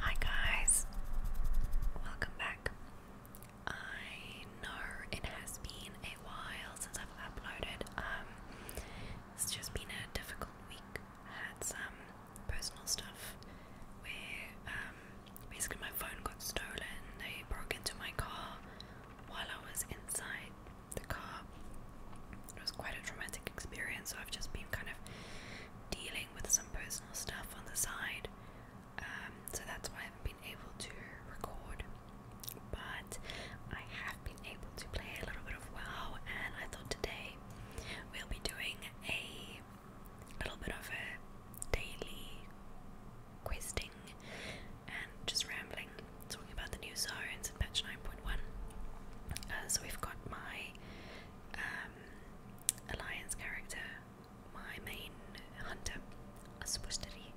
Hi guys, welcome back. I know it has been a while since I've uploaded. Um, it's just been a difficult week. had some personal stuff where um, basically my phone got stolen. They broke into my car while I was inside the car. It was quite a traumatic experience, so I've just been kind of dealing with some personal stuff on the side. Um, so that's why I haven't been able to record. But I have been able to play a little bit of WoW, and I thought today we'll be doing a a little bit of a daily questing and just rambling, talking about the new zones in patch 9.1. Uh, so we've got my um, alliance character, my main hunter, Aspusteri,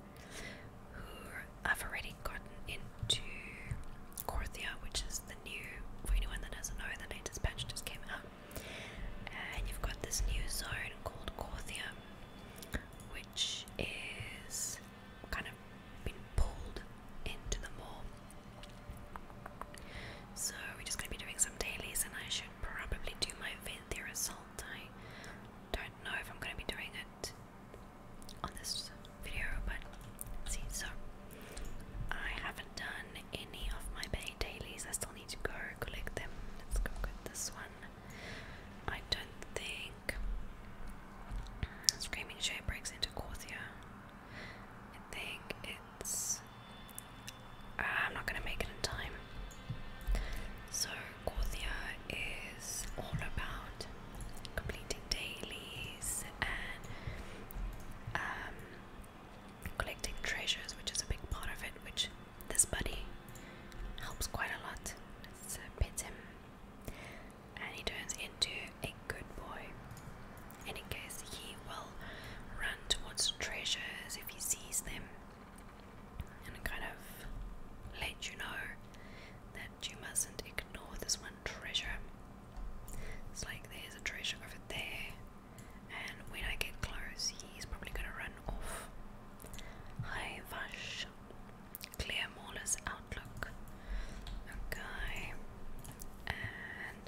who I've already gotten into Corthia, which is the new, for anyone that doesn't know, the latest patch just came out. And you've got this new zone called Corthium, which is kind of been pulled into the mall. So we're just going to be doing some dailies, and I should probably do my Venthyr Assault. I don't know if I'm going to be doing it on this video, but see. So I haven't done any of my bane dailies. I still need to go collect them. Let's go get this one. I don't think Screaming Shape breaks into Corthia. I think it's. Uh, I'm not gonna make it in time. So Corthia is all about completing dailies and um, collecting treasures, which is a big part of it, which this buddy helps quite a lot. It's a uh, pets him, and he turns into a good boy. And in case he will run towards treasures if he sees them, and kind of let you know that you mustn't ignore this one treasure. It's like there's a treasure over there and when I get close, he's probably going to run off. Hi, Vash. Clear Mauler's outlook. Okay. And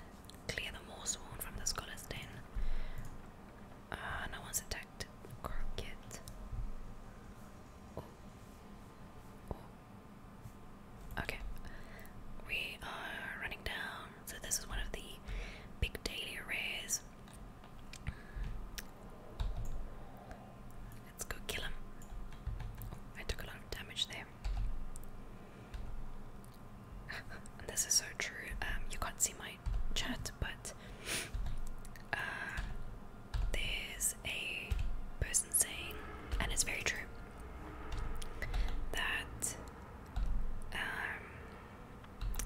clear the Morsworn from the Scholar's Den. Uh, no one's attacked. Crooked. Oh. Oh. Okay. We are running down so this is one of the big daily rares. Let's go kill him. I took a lot of damage there. this is so true. Um, you can't see my chat, but uh, there's a person saying, and it's very true, that um,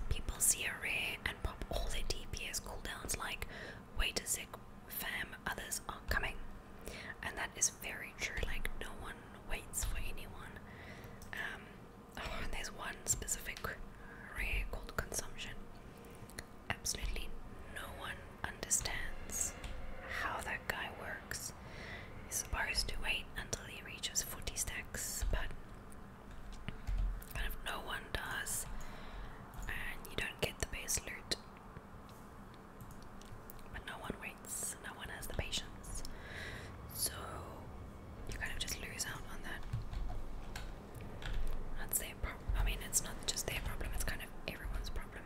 People see a rare and pop all their DPS cooldowns like, wait a sec, fam, others are coming. And that is very true, like, no one waits for anyone. Um, oh, and there's one specific rare called Consumption. Absolutely no one understands how that guy works stacks. He's supposed to wait until he reaches 40 stacks, but kind of no one does, and you don't get the base loot. But no one waits, no one has the patience, so you kind of just lose out on that. That's their problem. I mean, it's not just their problem, it's kind of everyone's problem.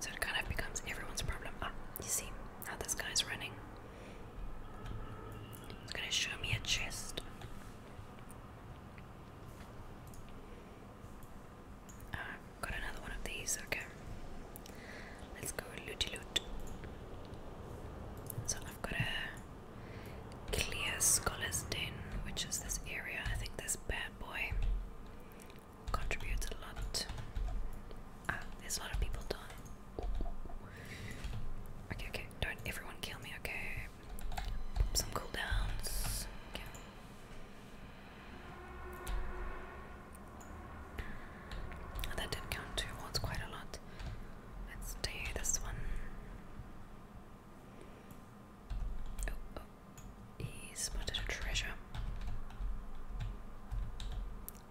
So it kind of becomes everyone's problem. Ah, you see how this guy's running? It's gonna show me a chest. got another one of these, okay. Let's go looty loot. So I've got a clear scholar's den, which is this area. I think this bad boy contributes a lot. Ah, there's a lot of people done. Okay, okay, don't everyone kill me, okay? some cooldowns. Oh, that did count two quite a lot. Let's do this one. Oh, oh. He spotted a treasure.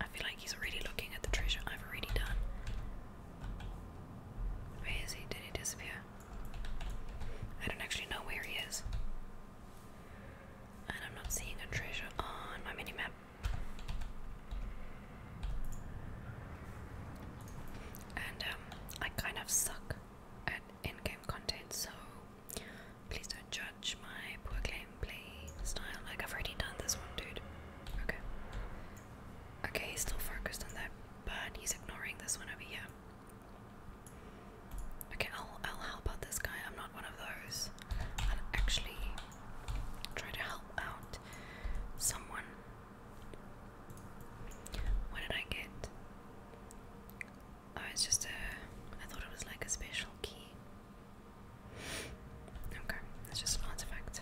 I feel like he's already looking at the treasure I've already done. Where is he? Did he disappear? I don't actually know where he is. And I'm not seeing a treasure on my minimap. And um, I kind of suck at in game content, so Please don't judge my poor claim play style. Like, I've already done this one, dude. Okay. Okay, still focused on that, but he's ignoring this one over here. Okay, I'll, I'll help out this guy. I'm not one of those. i actually try to help out someone. What did I get? Oh, it's just a. I thought it was like a special key. Okay, that's just an artifact.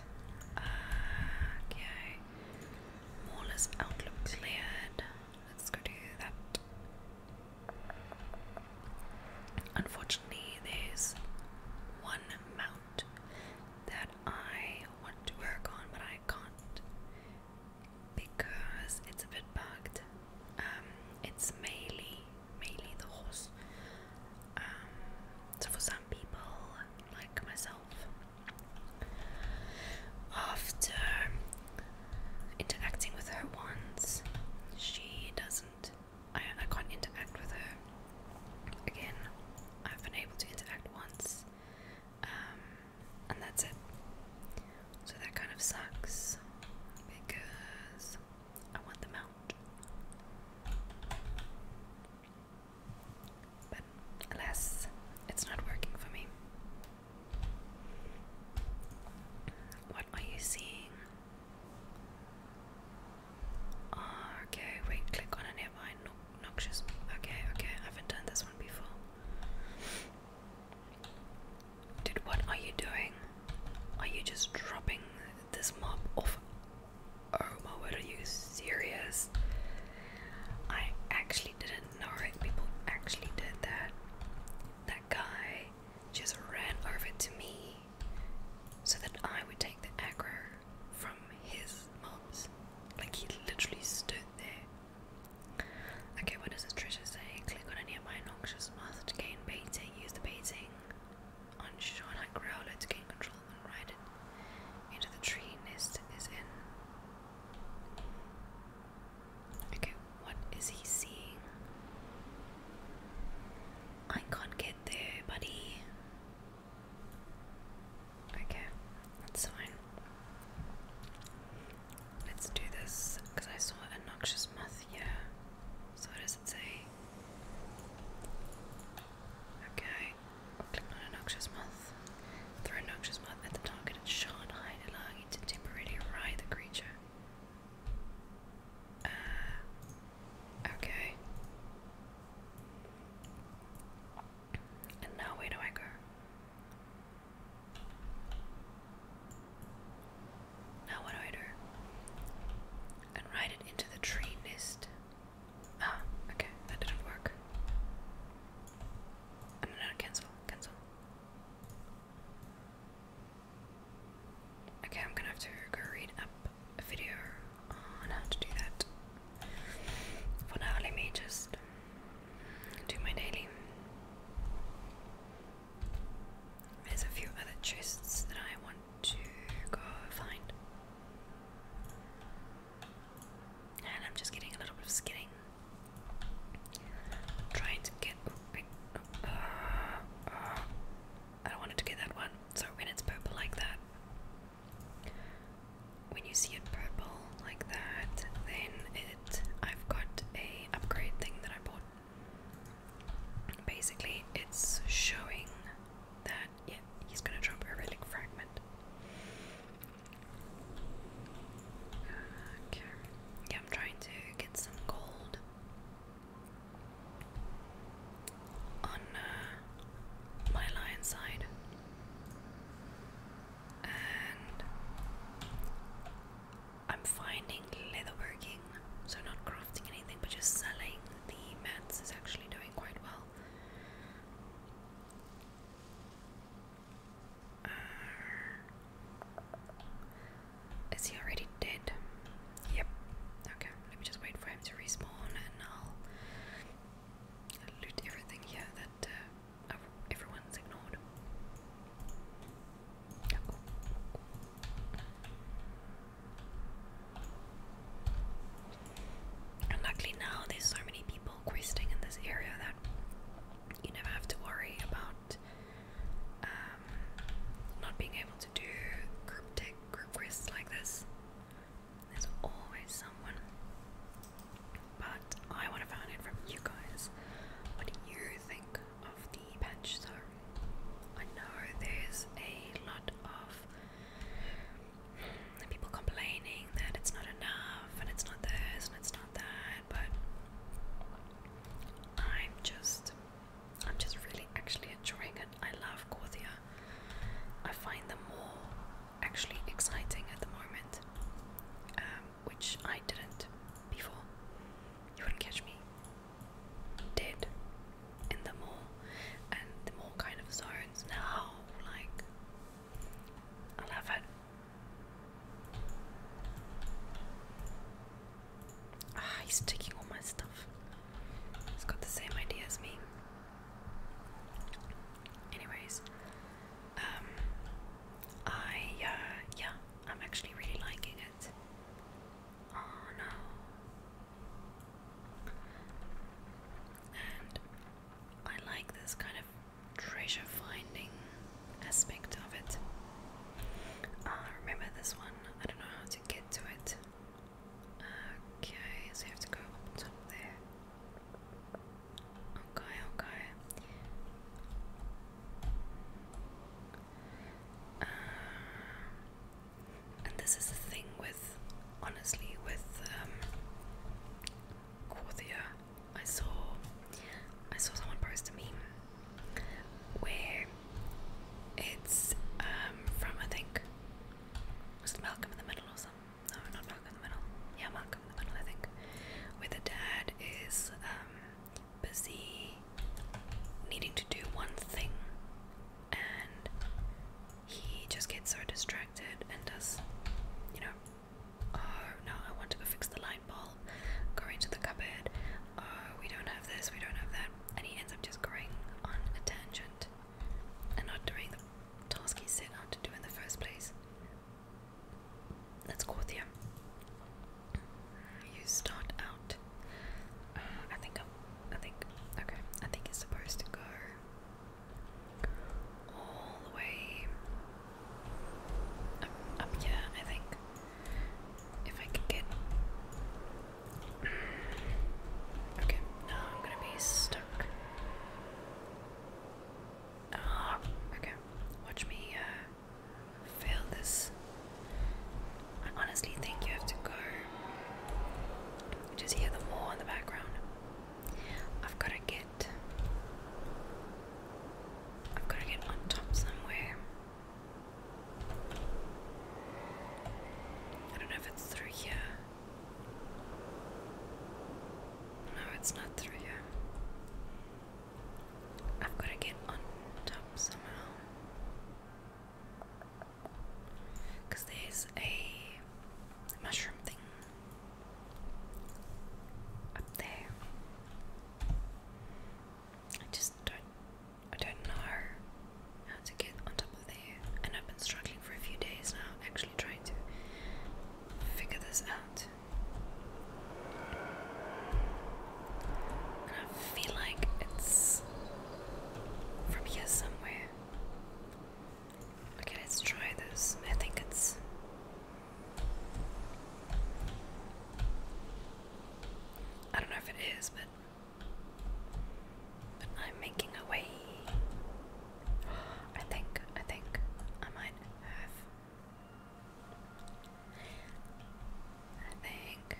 Uh, okay. Mauler's outlook cleared. Let's go do that. Unfortunately, there's one mount that I want to work on, but I can't because it's a bit bugged. Um, it's melee mainly the horse. Um, so for some people, like myself, after interacting with her once, she doesn't. I, I can't interact with her again. I've been able to interact once, um, and that's it. So that kind of sucks because I want them out. But alas, it's not working for me. What are you seeing? Ah, okay, wait, click on a nearby noxious. Okay, okay, I haven't done this one before. Dude, what are you doing? Are you just dropping this mob off? Oh my word, are you serious? I actually didn't know it. People actually did that. That guy just ran over to me so that I would take the aggro from his mobs. Like he literally stood there. Okay, what does the treasure say? Click on any of my noxious moth to gain baiting. Use the baiting. On Shona Growler to gain control and ride it into the tree Nist is in. Okay, what is he seeing? I can't get there, buddy. Okay, that's fine. Let's do this because I saw a noxious moth Yeah. So, does it say? Okay. Click on a noxious moth. Throw a at the target and shard hide, allowing it temporarily ride the creature. Uh, okay. And now where do I go? Now what do I do? And write it into the tree nest. Ah, okay, that didn't work. Oh, no, no, cancel, cancel. Okay, I'm gonna have to go read up a video on how to do that. For now, let me just do my daily. There's a few other chests that I want to go find. And I'm just getting a little bit skidding. Trying to get. wait, oh, uh, uh, I do to get that one. So when it's purple like that, when you see it purple like that, then it. I've got a upgrade thing that I bought Basically, it's showing that yeah, he's gonna drop a relic fragment. Uh, yeah, I'm trying to get some gold on uh, my lion side, I'm finding leatherworking, so not crafting anything, but just selling the mats is actually doing quite well. Uh, is he already dead? Yep. Okay, let me just wait for him to respawn and I'll loot everything here that uh, everyone's ignored. And luckily now there's so many people questing in this area that you never have to worry about um, not being able to do cryptic tech quests like this. There's always someone. But I want to find it from you guys. What you think of the patch so I know there's a lot of people complaining that it's not enough and it's not this and it's not that, but I'm just I'm just really actually enjoying it. I love Cordia. I find them more actually exciting at the moment, um, which I didn't before. You wouldn't catch me did in the mall and the mall kind of zones now, like, I love it. Ah, he's taking all my stuff. He's got the same idea as me. Anyways, um, I, uh, yeah, I'm actually really liking it. Oh no. And I like this kind of treasure finding aspect of it. I uh, remember this one. I don't know how to get to it. Okay, so you have to go up top there. Okay, okay. Uh, and this is the thing with, honestly, with um, I saw, I saw someone post a meme where it's um, from I think was Malcolm in the Middle or something? No, not Malcolm in the Middle. Yeah, Malcolm in the Middle, I think. Where the dad is um, busy needing to do one thing and he just gets so distracted and does, you know, oh no, I want to go fix the light bulb, Going to the cupboard, oh we don't have this, we don't have that, and he ends up just going on a tangent and not doing the task he set out to do in the first place. That's Corthia. You start out. Uh, I think i think okay. I think it's supposed to go all the way up, up yeah, I think if I can get Okay, now I'm gonna be stuck. Ah, okay. Watch me uh, fail this. I honestly think you have to go. You just hear the war in the background. I've got to get. I've got to get on top somewhere. I don't know if it's through here. No, it's not through here. I've got to get on top somehow. Because there's a mushroom thing up there. I just don't I don't know how to get on top of there. And I've been struggling for a few days now, actually trying to figure this out. I feel like it's from here somewhere. Okay, let's try this. I think it's. I don't know if it is, but. But I'm making a way. I think, I think I might have. I think.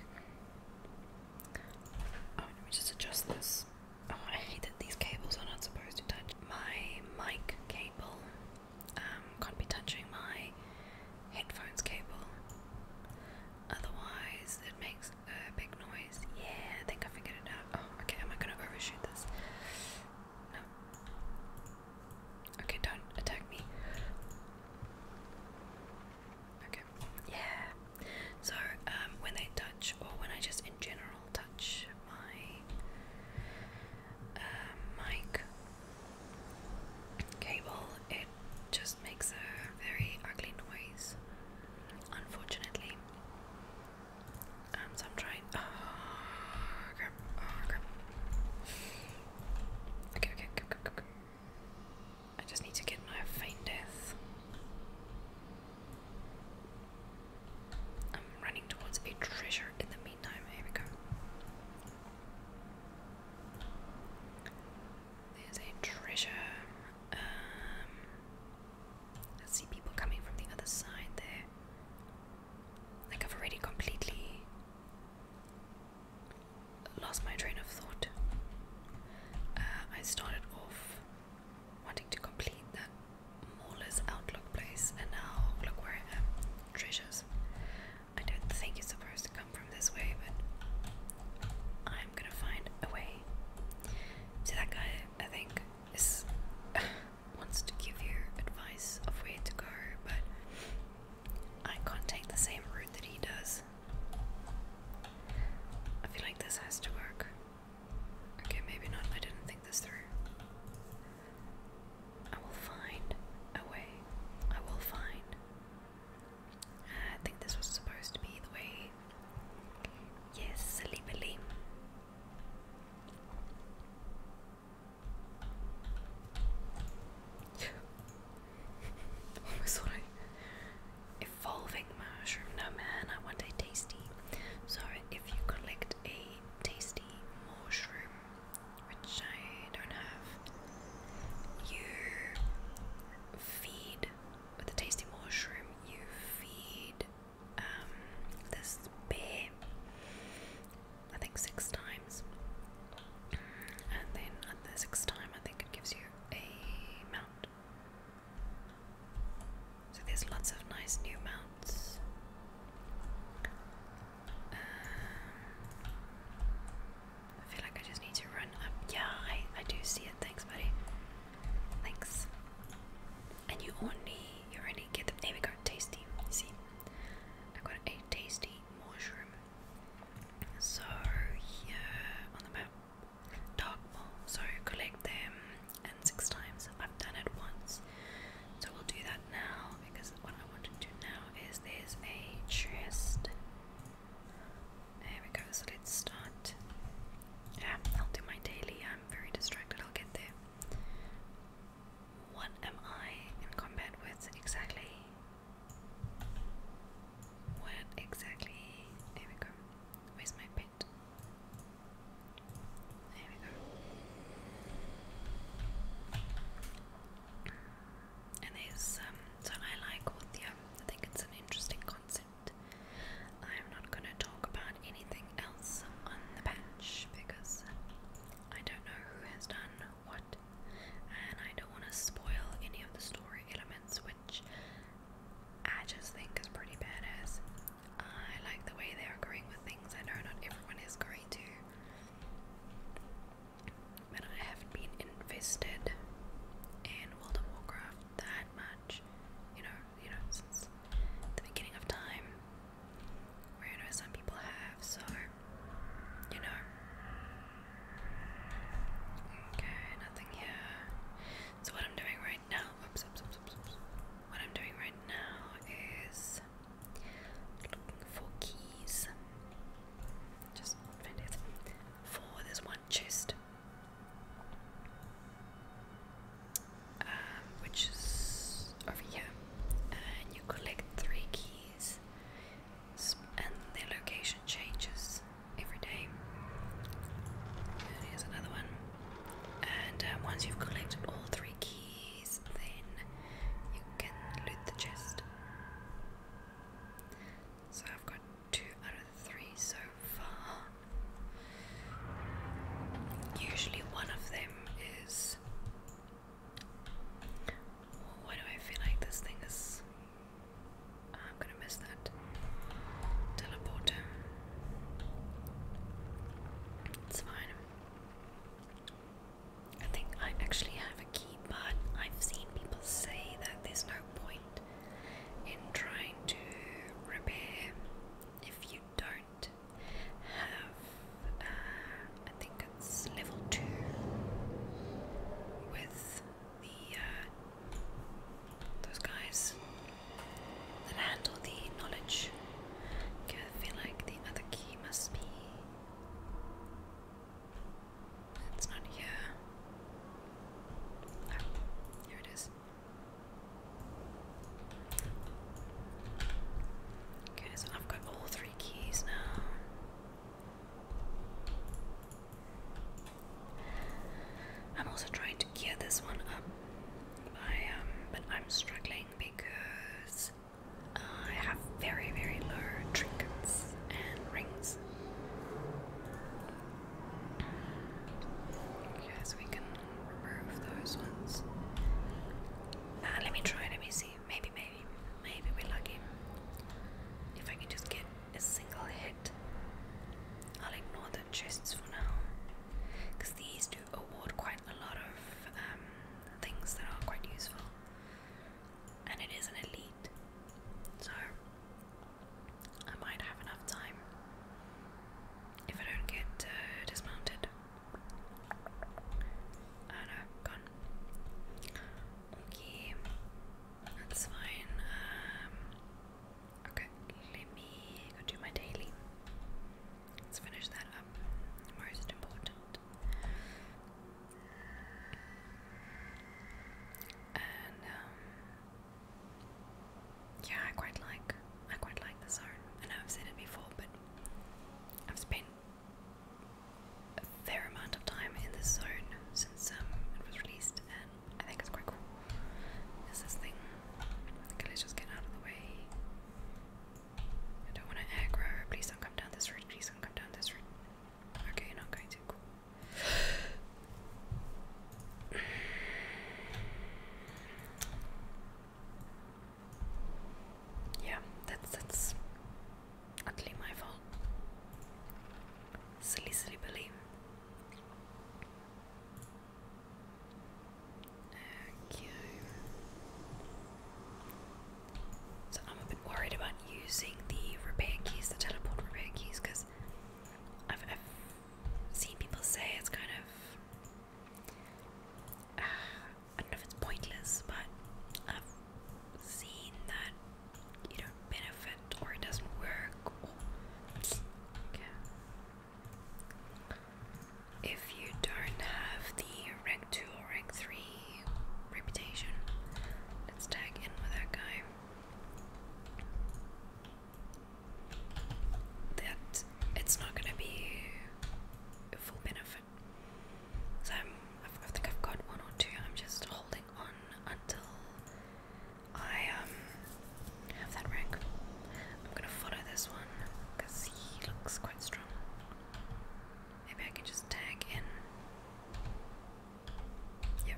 Oh, let me just adjust this. Oh, I hate that these cables are not supposed to touch. My mic cable um, can't be touching my headphones cable. Otherwise, it makes a big noise. Yeah, I think I figured it out. Oh, okay, am I gonna overshoot this? No. Okay, don't attack me. Okay. Yeah. So um, when they touch, or when I just in general touch my um, mic cable, it just makes a very ugly noise. Unfortunately. Um, so I'm trying. Oh, oh, okay, okay, I just need to get my faint death. I'm running towards a treasure in the meantime. Here we go. There's a treasure. Um, I see people coming from the other side there. Like I've already completely lost my train of thought. Uh, I started off wanting to complete that Mauler's Outlook place, and now look where I am. Treasures. I don't think it's supposed to come from this way, but I'm gonna find a way. See, that guy, I think, is. wants to give you advice of where to go, but I can't take the same route that he does. I feel like this has to work. Okay, maybe not. I didn't think this through. I will find a way. I will find. I think this was supposed to be the way. Yes, silly Oh, Almost evolving mushroom. No man, I want a tasty. So if you collect a tasty mushroom, which I don't have, you feed with the tasty mushroom. You feed um, this bear. I think six times, and then at the sixth time, I think it gives you a mount. So there's lots of nice new mounts. Um, I feel like I just need to run up. Yeah, I, I do see it. Thanks, buddy. Thanks. And you only you only get them. There we go. Tasty. See, I got a tasty mushroom so here on the map, dark mole. So collect them and six times. I've done it once, so we'll do that now because what I want to do now is there's a tryst. There we go. So let's start. Yeah, I'll do my daily. I'm very distracted. I'll get there. What am I in combat with exactly? What exactly? There we go. Where's my pet? There we go. And there's um so I like Orthia. I think it's an interesting concept. I'm not gonna talk about anything else on the patch because I don't know who has done what. And I don't want to spoil any of the story elements, which I just think is pretty badass. I like the way they are going with things. I know not everyone is going to. But I haven't been invested in World of Warcraft that much, you know, you know, since the beginning of time. Where I know some people have, so you know, Okay, nothing here. So what I'm doing right now, oops, oops, oops, oops, oops. What I'm doing right now is looking for keys. Just find it for this one chest, um, which is over here, and you collect three keys and their location changes every day. And here's another one. And uh, once you've collected all three keys, then you can loot the chest. So I've got two out of three so far. Usually one of them is. Why do I feel like this thing is I'm gonna miss that. Teleporter. It's fine. I think I actually have a key, but I've seen people say that there's no point in trying to repair if you don't have, uh, I think it's level 2 with the uh, those guys that handle the knowledge. I feel like the other key must be. It's not here. Ah, here it is. Okay, so I've got all three keys now. I'm also trying to gear this one up, um, but I'm struggling because I have very, very low trinkets and rings. Okay, we can remove those ones. Ah, let me try, let me see. Maybe, maybe, maybe we're lucky. If I can just get a single hit. I'll ignore the chests for now because these do award quite a lot of um, things that are quite useful. And it is an elite, so I might have enough time if I don't get uh, dismounted. oh, know, gone. Okay, that's fine. Um, okay, let me go do my daily. Let's finish that up. Most important. And um, yeah, I quite like I quite like the zone. I know I've said it before, but I've spent a fair amount of time in this zone since um, it was released, and I think it's quite cool. Is this thing? Okay, just get out of the way. I don't want to aggro. Please don't come down this route. Please don't come down this route. Okay, you not going to. Cool. Yeah, that's that's Utterly my fault. Silly, silly Billy. So I'm a bit worried about using the repair keys, the teleport repair keys, because I've, seen people say it's kind of. I don't know if it's pointless, but seen that you don't benefit or it doesn't work if you don't have the rank 2 or rank 3 reputation let's tag in with that guy that it's not gonna be full benefit so I think I've got one or two I'm just holding on until I um, have that rank. I'm gonna follow this one because he looks quite strong. Maybe I can just tag in. Yep.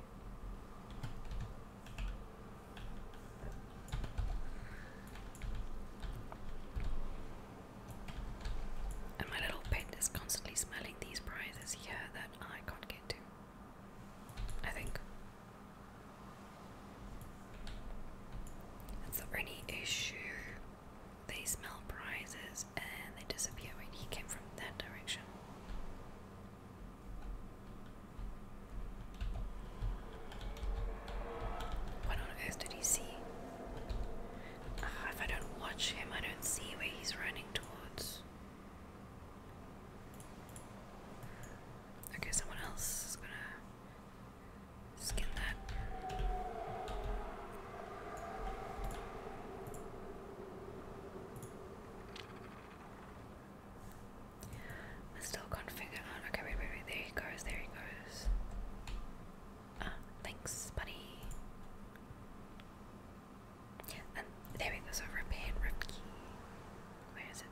And my little pet is constantly smelling these prizes. Yeah, I can't get to. I think. That's the only issue. They smell prizes and they disappear he came from that direction. What on earth did he see? Ah, if I don't watch him, I don't see where he's running towards. Okay, someone else is gonna skin that. I still can't figure out. Oh, okay, wait, wait, wait. There he goes. There he goes. Ah, thanks, buddy. And there we go, A repair rift key. Where is it?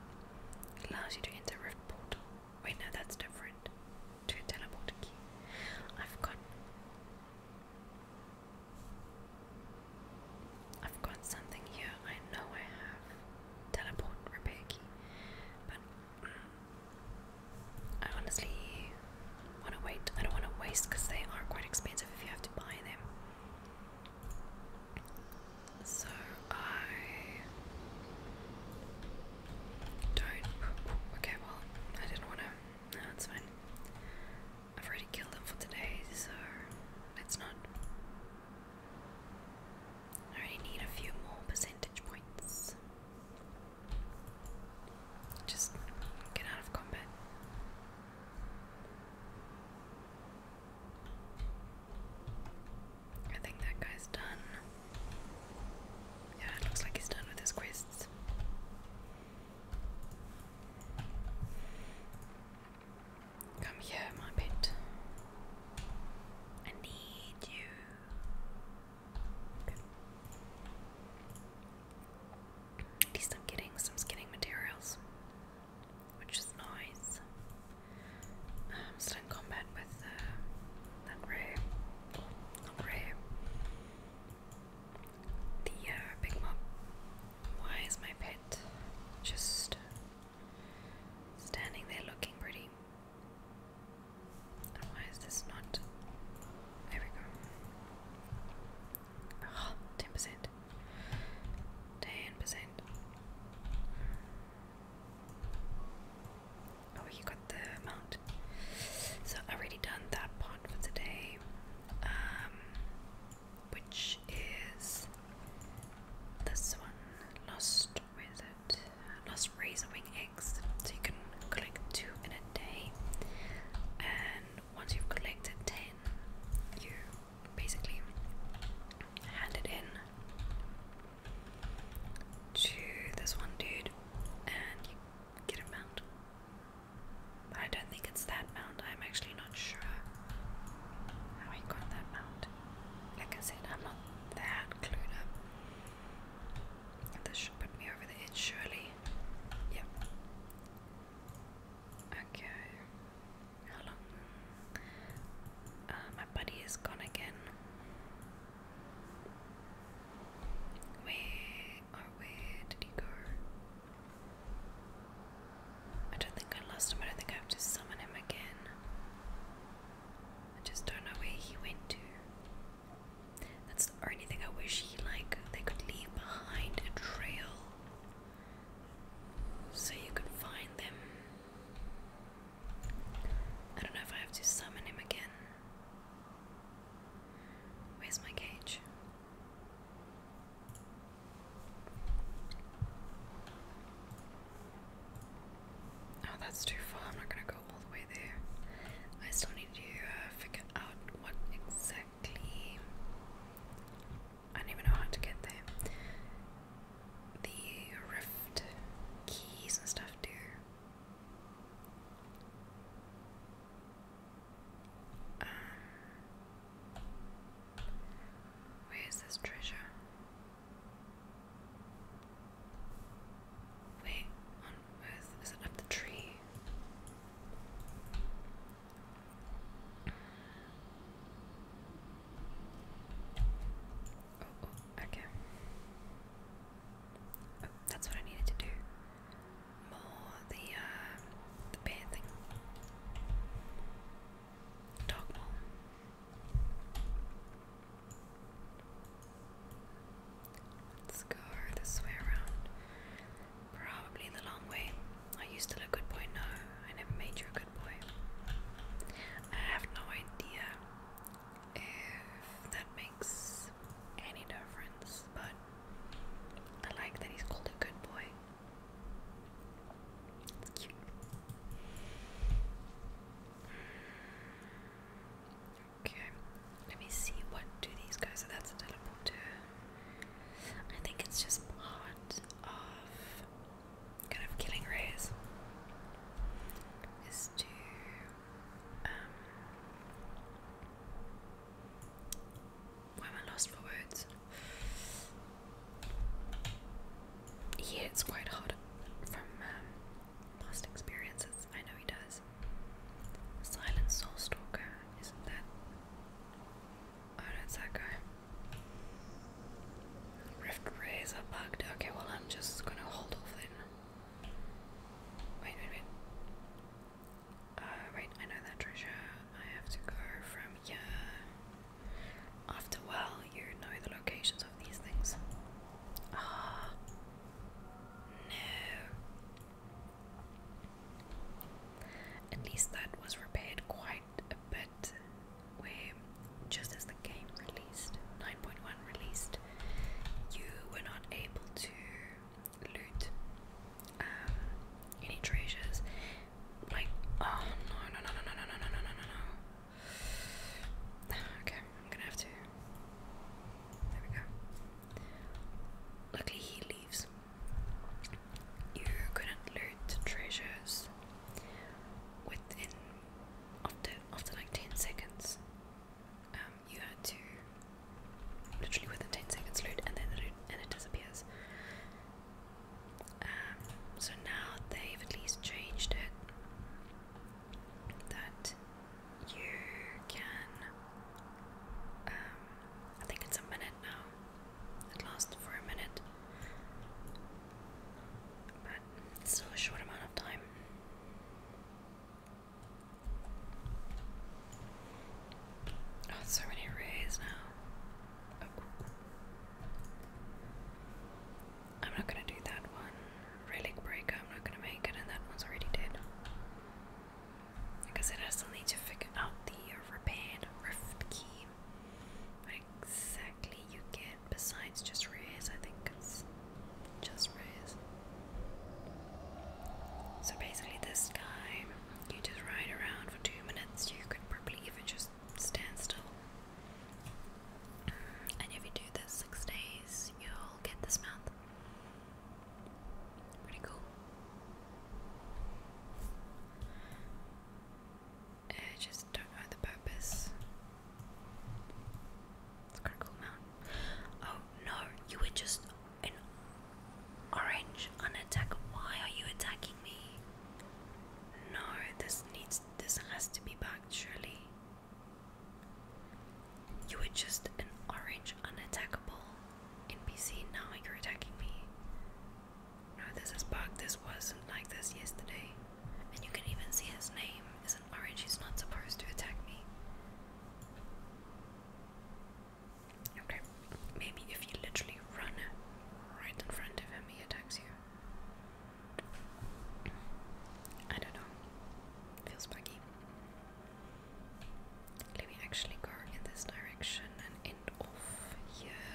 It allows you to enter rift portal. Wait, no, that's different. To a key. I've got I've got something here. I know I have teleport repair key, but mm, I honestly want to wait. I don't want to waste because they are quite expensive if you have to buy them. So I don't. Okay, well, I didn't want to. No, it's fine. I've already killed them for today, so let's not. I only need a few more percentage points. Just get out of combat. I think that guy's done. Yeah, it looks like he's done with his quests. Come here, my pet. I need you. At least I'm getting some skinning materials, which is nice. I'm um, still in combat with uh, that ray, ray, the uh, big mob. Why is my pet just standing there looking pretty? And why is this not? There we go. 10%. 10%. Oh, you got the amount. So, I've already done that part for today, um, which is this one Lost Wizard, Lost Razor Wing Eggs. So, you can collect two in a day. And once you've collected 10, you basically hand it in to this one dude and you get a mount. I don't think it's that mount, I'm actually not sure how I got that mount. Like I said, I'm not that clued up. This should put me over the edge, surely. Yep. Okay. How long? Uh, my buddy is gone again. Where where did he go? I don't think I lost him. I don't think I have to summon him again. I just don't know where he went to or anything. I wish he like they could leave behind a trail so you could find them. I don't know if I have to summon him again. Where's my cage? Oh, that's too far. I'm not gonna go all the way there. I still need to uh, figure out what exactly. I don't even know how to get there. The rift keys and stuff do. Um, where is this treasure? Wait, on earth is it up the tree? Oh, okay. Oh, that's what I needed to do. More the uh, the bear thing. Let's go this way around. Probably the long way. Are you still a good boy? No, I never made you a good boy. I have no idea if that makes any difference, but I like that he's called a good boy. It's cute. Okay, let me see what do these guys. So that's a teleporter. I think it's just part of kind of killing rays is to um why am I lost for words? Yeah, it's quite hot from um, past experiences. I know he does. Silent Soul Stalker, isn't that Oh, that's that guy. Rift rays are bugged. Okay, well, I'm just gonna hold off then. Wait, wait, wait. Uh, wait, I know that treasure. I have to go from here. After a while, you know the locations of these things. Ah. No. At least that was repaired quite a bit. Where just as the game released, 9.1 released, you were not able to loot any treasures. Like, oh no, no, no, no, no, no, no, no, no, no. Okay, I'm gonna have to. There we go. Luckily, he leaves. You couldn't loot treasures within after after like ten seconds. Um, you had to literally within ten seconds loot, and then it, and it disappears. Um, so now they've at least changed it that you can um, I think it's a minute now. It lasts for a minute. But still a short amount of time. Oh, so many rays now. I'm not gonna do that one. Relic Breaker, I'm not gonna make it, and that one's already dead. Because I still need to figure out the repaired rift key. exactly you get besides just rays. I think it's just rays. So basically, this guy, you just ride around for two minutes, you could probably even just stand still. And if you do this six days, you'll get this mount. Pretty cool. I just don't know the purpose. It's kind of cool mountain. Oh no, you were just an orange unattack. Why are you attacking me? No, this needs this has to be backed surely. You were just an orange unattackable. NPC, now you're attacking me. No, this is bugged. This wasn't like this yesterday. And you can even see his name is an orange. He's not supposed to attack me. Okay, maybe if you literally run right in front of him, he attacks you. I don't know. Feels buggy. Let me actually go in this direction and end off here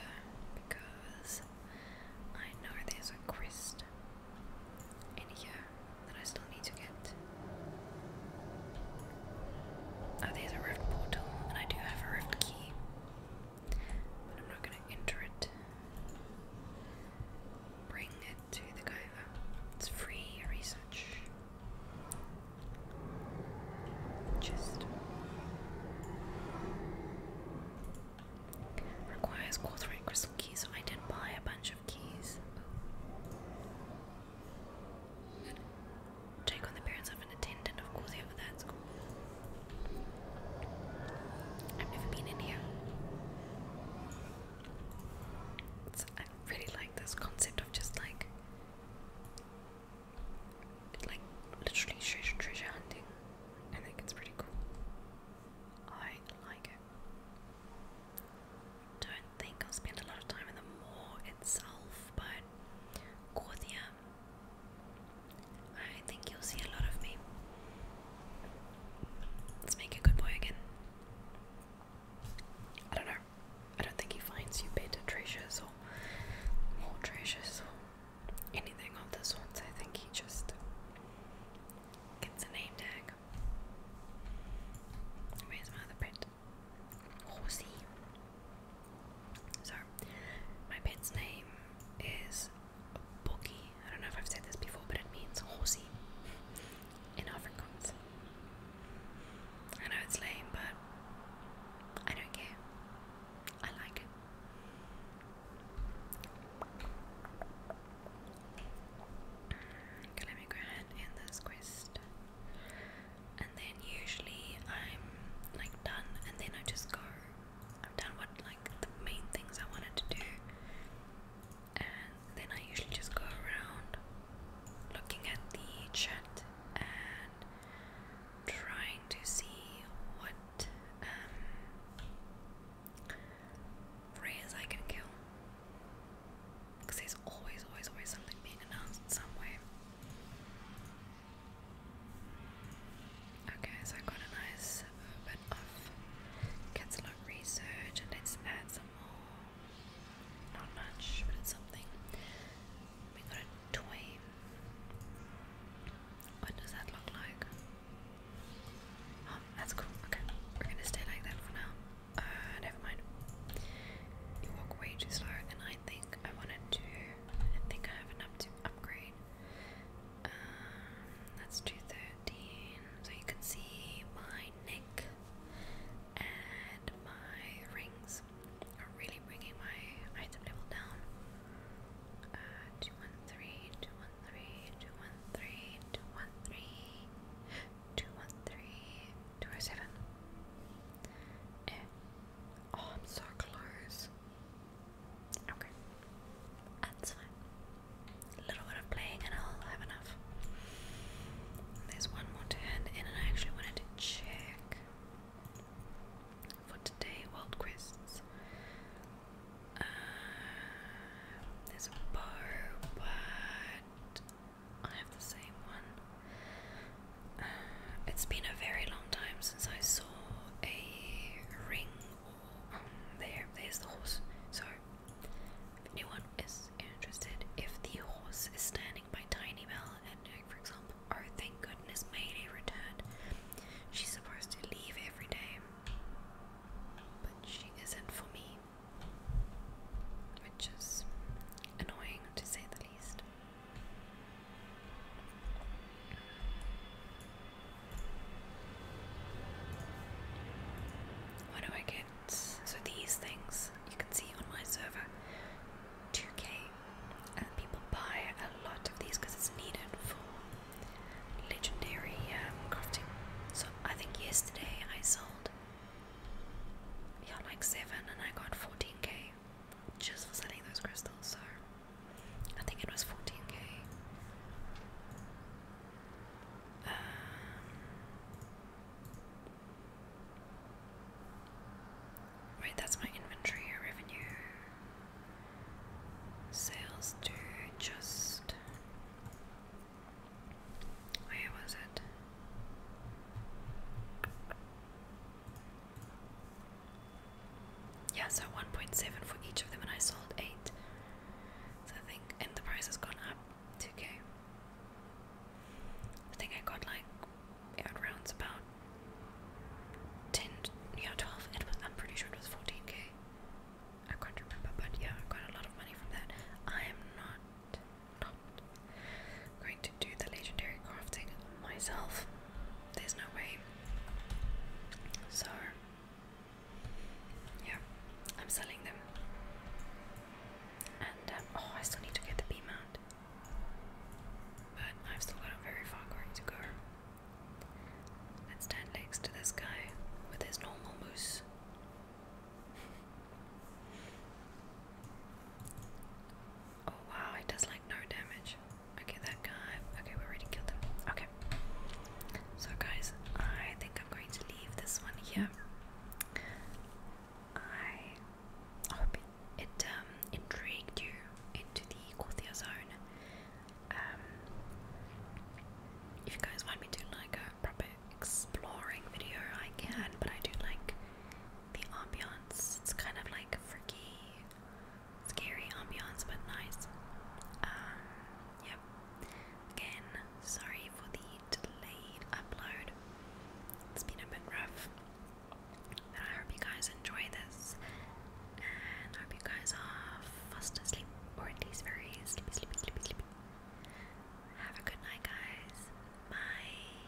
because I know there's a crest in here that I still need to get. Oh, there's a rift portal, and I do have a rift key, but I'm not going to enter it. Bring it to the Gaiva. It's free research. Just requires quarter eight crystal keys, so I did buy a bunch of keys. Take on the appearance of an attendant, of course, yeah, but that's I've never been in here. I really like this concept of just like like literally treasure, treasure hunting. I think it's pretty cool. I like it. Don't think I'll spend a lot of time in the moor itself, but Corthia, I think you'll see a lot of me. Let's make a good boy again. I don't know. I don't think he finds you better treasures or more treasures or anything of the sorts. I think he just gets a name tag. Where's my other pet? Horsey. So, my pet's name is Boogie. I don't know if I've said this before, but it means horsey in Afrikaans. I know it's lame, but I don't care. I like it. Okay, let me go ahead in this quest. And then usually I'm like done and then I just go. I've done what like the main things I wanted to do. And then I usually just go around looking at the chat and trying to see what um, phrase I can kill. Because there's always, always, always something being announced in some way. Okay, so I got a nice bit of catalog research, and let's add some more not much, but it's something. We got a toy. What does that look like? Oh, that's cool. Okay, we're gonna stay like that for now. Uh, never mind. You walk way too slow, and I think I wanted to. I think I have enough to upgrade. Um, that's 213. So you can see my neck and my rings things are really bringing my item level down. Uh, Oh, I'm so close. Okay. That's fine. A little bit of playing and I'll have enough. There's one more turn, and I actually wanted to check for today world quests. Uh, there's a bar, but I have the same one. Uh, it's been a very long time since I saw a ring. Um, there, there's the horse. So, if anyone is interested, if the horse is standing my tiny mail and, for example, oh thank goodness Mayday returned. She's supposed to leave every day, but she isn't for me, which is annoying to say the least. What do I get? So these things you can see on my server 2k and people buy a lot of these because it's needed for legendary um, crafting so I think yesterday I sold yeah like 7 and I got 14k just for selling those crystals so I think it was 14k Wait, that's my inventory revenue. Sales do just. Where was it? Yeah, so 1.7 for each of them, and I sold 8. So I think, and the price has gone up 2k. I think I got like at rounds about 10, yeah, 12, it was, I'm pretty sure it was 14k. I can't remember, but yeah, I got a lot of money from that. I am not, not going to do the legendary crafting myself. There's no way. So, yeah, I'm selling them. And, um, oh, I still need to get the B mount. But I've still got a very far going to go. Let's stand next to this guy with his normal moose. Oh wow, he does like no damage. Okay, that guy. Okay, we already killed him. Okay. So, guys, I think I'm going to leave this one here. I hope it, um, intrigued you into the Corthia zone. Um, if you guys want me to like a proper exploring video, I can, but I do like the ambiance. It's kind of like freaky, scary ambience, but nice. Um, yep. Again, sorry for the delayed upload. It's been a bit rough. But I hope you guys enjoy this. And I hope you guys are fast asleep, or at least very sleepy, sleepy, sleepy, sleepy. Have a good night, guys. Bye.